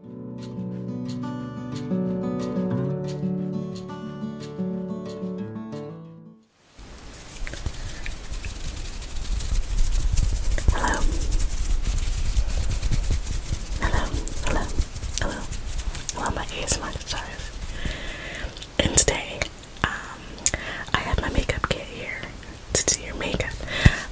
Hello. Hello. Hello. Hello. Hello, my ASMR stars. And today, um, I have my makeup kit here to do your makeup.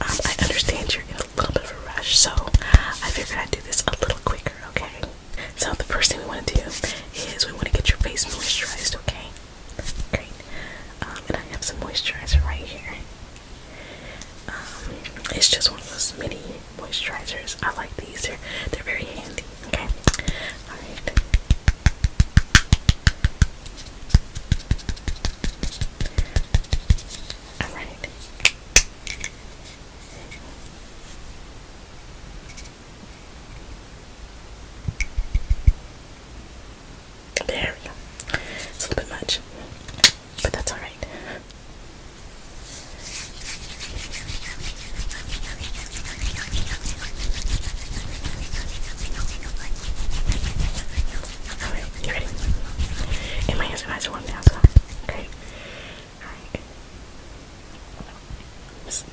Um, I understand you a little bit of a rush, so I figured I'd do this a little quicker, okay? So the first thing we want to do is we want to get your face moisturized, okay? Great. Um, and I have some moisturizer right here. Um, it's just one of those mini moisturizers. I like these. They're they're very handy. Okay. All right. Alright. There we go. It's a little bit much, but that's alright. Alright, you ready? And my answer one now, so okay. Alright. Just,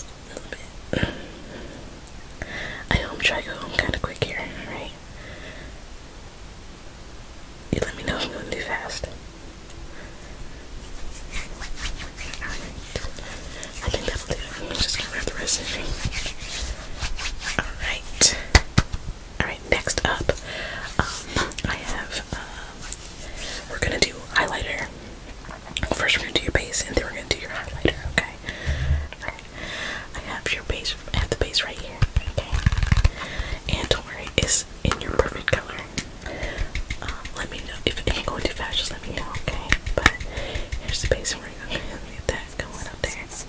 a little bit. I know i go kinda quick here, alright? You let me know if I'm going too fast. Alright. I think that'll do just gonna wrap the rest of Alright. Alright, next up, um, I have, um, we're gonna do highlighter. First we're gonna do your base and then we're gonna do your highlighter, okay? Alright. I have your base, I have the base right here, okay? And don't worry, it's in your perfect color. Um, let me know, if it ain't going too fast, just let me know, okay? But here's the base and we're get that going up there.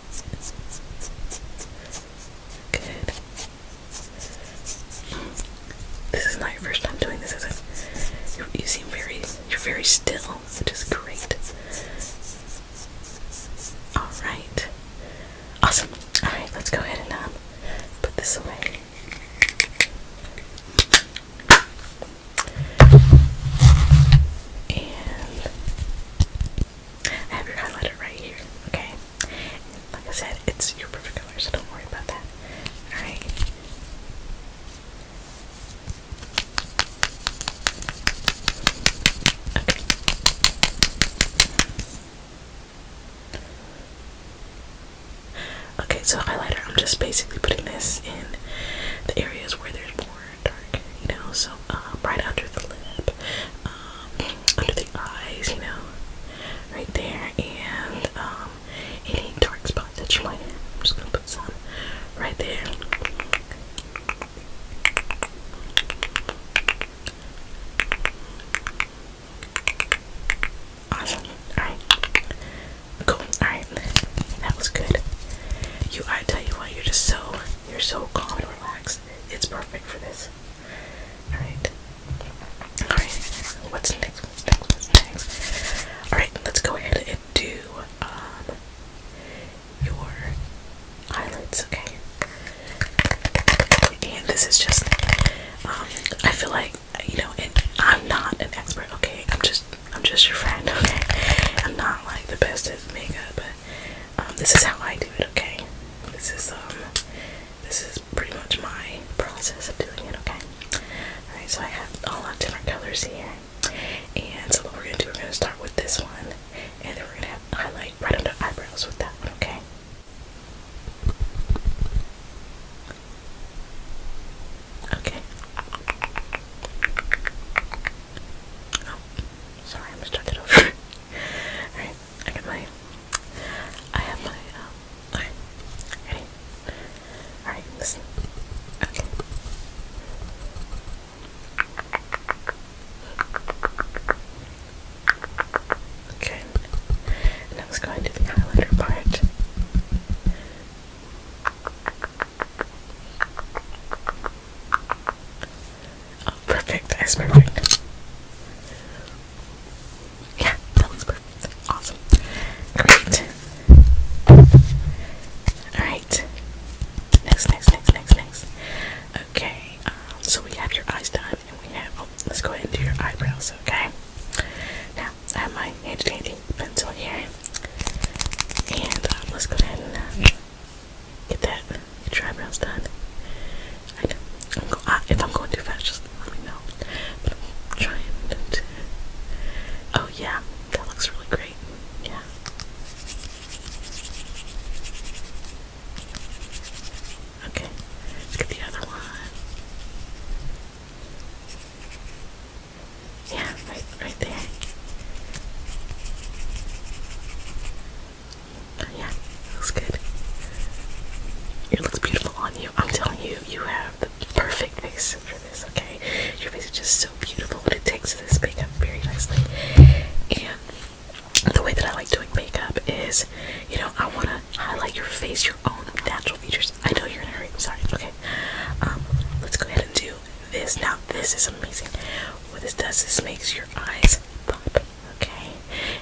Good. This is not your first time doing this, is it? You, seem very, you're very still, which is great. All right. Awesome. All right, let's go ahead and um, put this away. And I have your highlighter right here, okay? Like I said, it's your perfect color, so don't worry about that. Alright. Okay. Okay, so highlighter, I'm just basically putting this in the areas where there's more darker, you know, so uh, right under the lip, um, under the eyes, you know, right there, and um, any dark spots that you might have. I'm just gonna put some right there. Awesome. Alright. Cool. Alright. That was good. You I tell you what, you're just so you're so calm and relaxed. It's perfect for this. Alright. Alright. What's next? Alright, let's go ahead and do um your eyelids, okay? And this is just um I feel like you know, and I'm not an expert, okay? I'm just I'm just your friend, okay? I'm not like the best at makeup, but um, this is how I do it, okay? This is um this is pretty much my process of doing it, okay? Alright, so I have a lot of different colors here. And so what we're gonna do, we're gonna start with this one, and then we're gonna have highlight right under eyebrows with that one, okay? Okay. Oh, sorry, I'm gonna start that over. Alright, I got my. I have my. Um, Alright, ready? Alright, listen. Okay. Okay, and I was going to the highlighter part. Oh, perfect. That's perfect. Yeah, that was perfect. Awesome. Great. Alright. Next, next, next, next, next. Okay, um, so we have your eyes done and we have oh let's go ahead and do your eyebrows, okay? Now I have my handy dandy pencil here. And um, let's go ahead and uh, Get that. Get your eyebrows done. I know. if I'm going too fast, just let me know. But I'm trying to. Oh yeah, that looks really great. Yeah. Okay, let's get the other one. Yeah, right there. Oh, yeah, looks good. It looks beautiful on you. I'm telling you, you have the perfect face for this, okay? Your face is just so beautiful, and it takes this makeup very nicely. And the way that I like doing makeup is, you know, I want to highlight your face, your own natural features. I know you're in a hurry, I'm sorry, okay? Um, let's go ahead and do this. Now this is amazing. What this does is makes your eyes pop. Okay,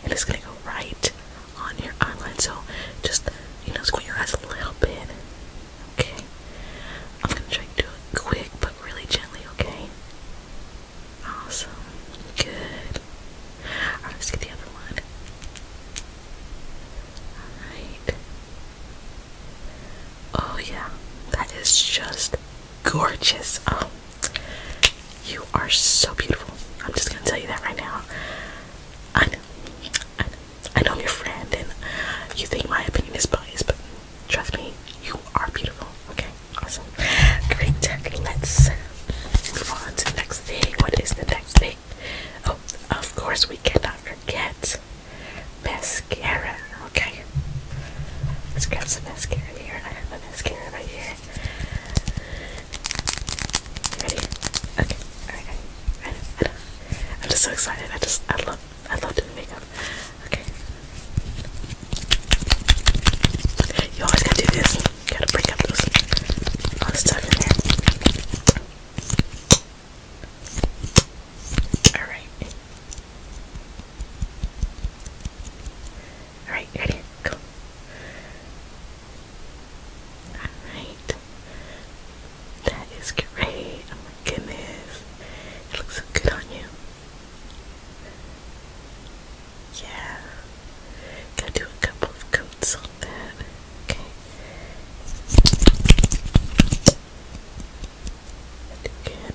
and it's gonna go right on your eyeline. So just you know, squint your eyes a little bit. Okay, I'm gonna try to do it quick but really gently. Okay. Awesome. Good. let's get the other one. Alright. Oh yeah, that is just gorgeous. Oh, you are so beautiful. I'm just gonna tell you that right now. I know, I know, I know I'm your friend, and you think my opinion is biased, but trust me, you are beautiful. Okay, awesome, great. Let's move on to next thing. What is the next thing? Oh, of course, we cannot forget Mascara. Okay. Let's grab some mascara here. and I have a mascara right here. Ready? Okay. Alright. I, I, am just so excited. I just, I love, I love doing makeup. Okay. You always gotta do this. gotta break up those, all the stuff in there. Alright. Alright, ready? Go. Alright. That is great. Oh my goodness. It looks so good on you. Yeah. Gotta do a couple of coats on that. Okay. I can.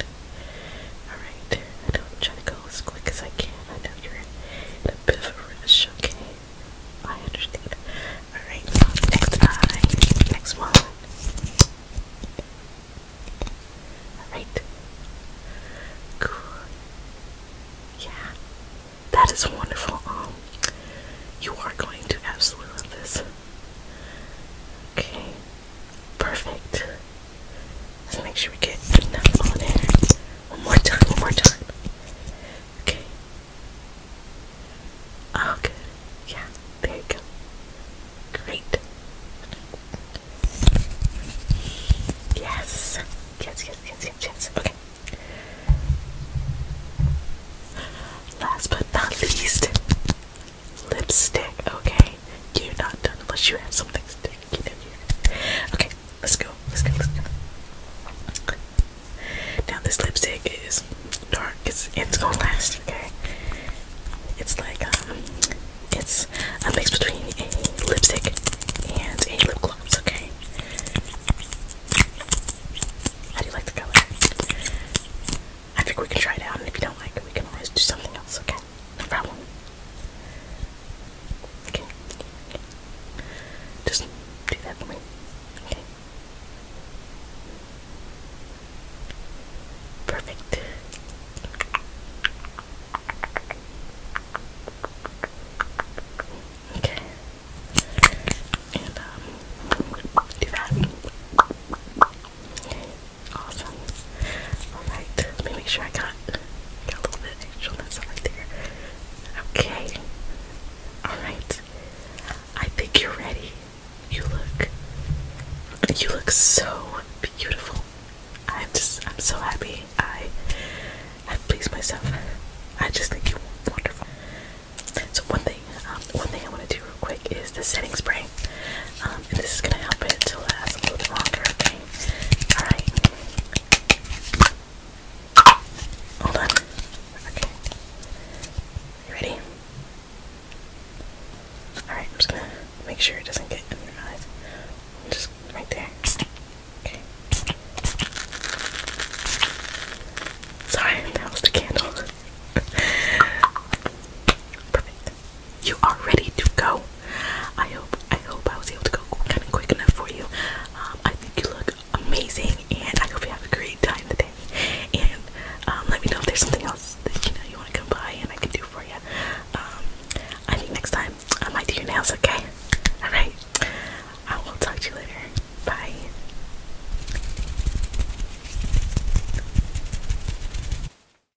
Alright, I know I'm trying to go as quick as I can. I know you're in a bit of a rush, okay? I understand. Alright, next eye. Next one. Alright. Cool. Yeah. That is wonderful. Um you are going to absolutely love this. Okay. Perfect. Let's make sure we get enough on there. One more time, one more time. Okay. Oh, good. Yeah, there you go. Great. Yes. Yes, yes, yes, yes, yes. Okay. Last but not least, Lipstick, okay. You're not done unless you have something sticky down Okay, let's go. Let's go. Let's go. Now this lipstick is dark. It's it's gonna last, okay? It's like um, it's a mix between a lipstick and a lip gloss, okay? How do you like the color? I think we can try it out, and if you don't like it, we can always do something else, okay? no problem. Okay. Just do that for me. Okay. Perfect. Okay. And um do that. Awesome. Alright, let me make sure I got, got a little bit of right there. Okay. Alright. I think you're ready. You look you look so beautiful. I'm just I'm so happy I have pleased myself. I just think you're wonderful. So one thing, um, one thing I want to do real quick is the setting spray. Um, and this is gonna help it to last a little longer, okay? Alright. Hold on. Okay. You ready? Alright, I'm just gonna make sure it doesn't get in your eyes. Just right there. Okay. Sorry, that was the candle. Perfect you are ready to go. I hope I hope I was able to go kind of quick enough for you. Um, I think you look amazing, and I hope you have a great time today. And um, let me know if there's something else that you know you want to come by and I can do for you. Um, I think next time I might do your nails. Okay. All right. I will talk to you later. Bye.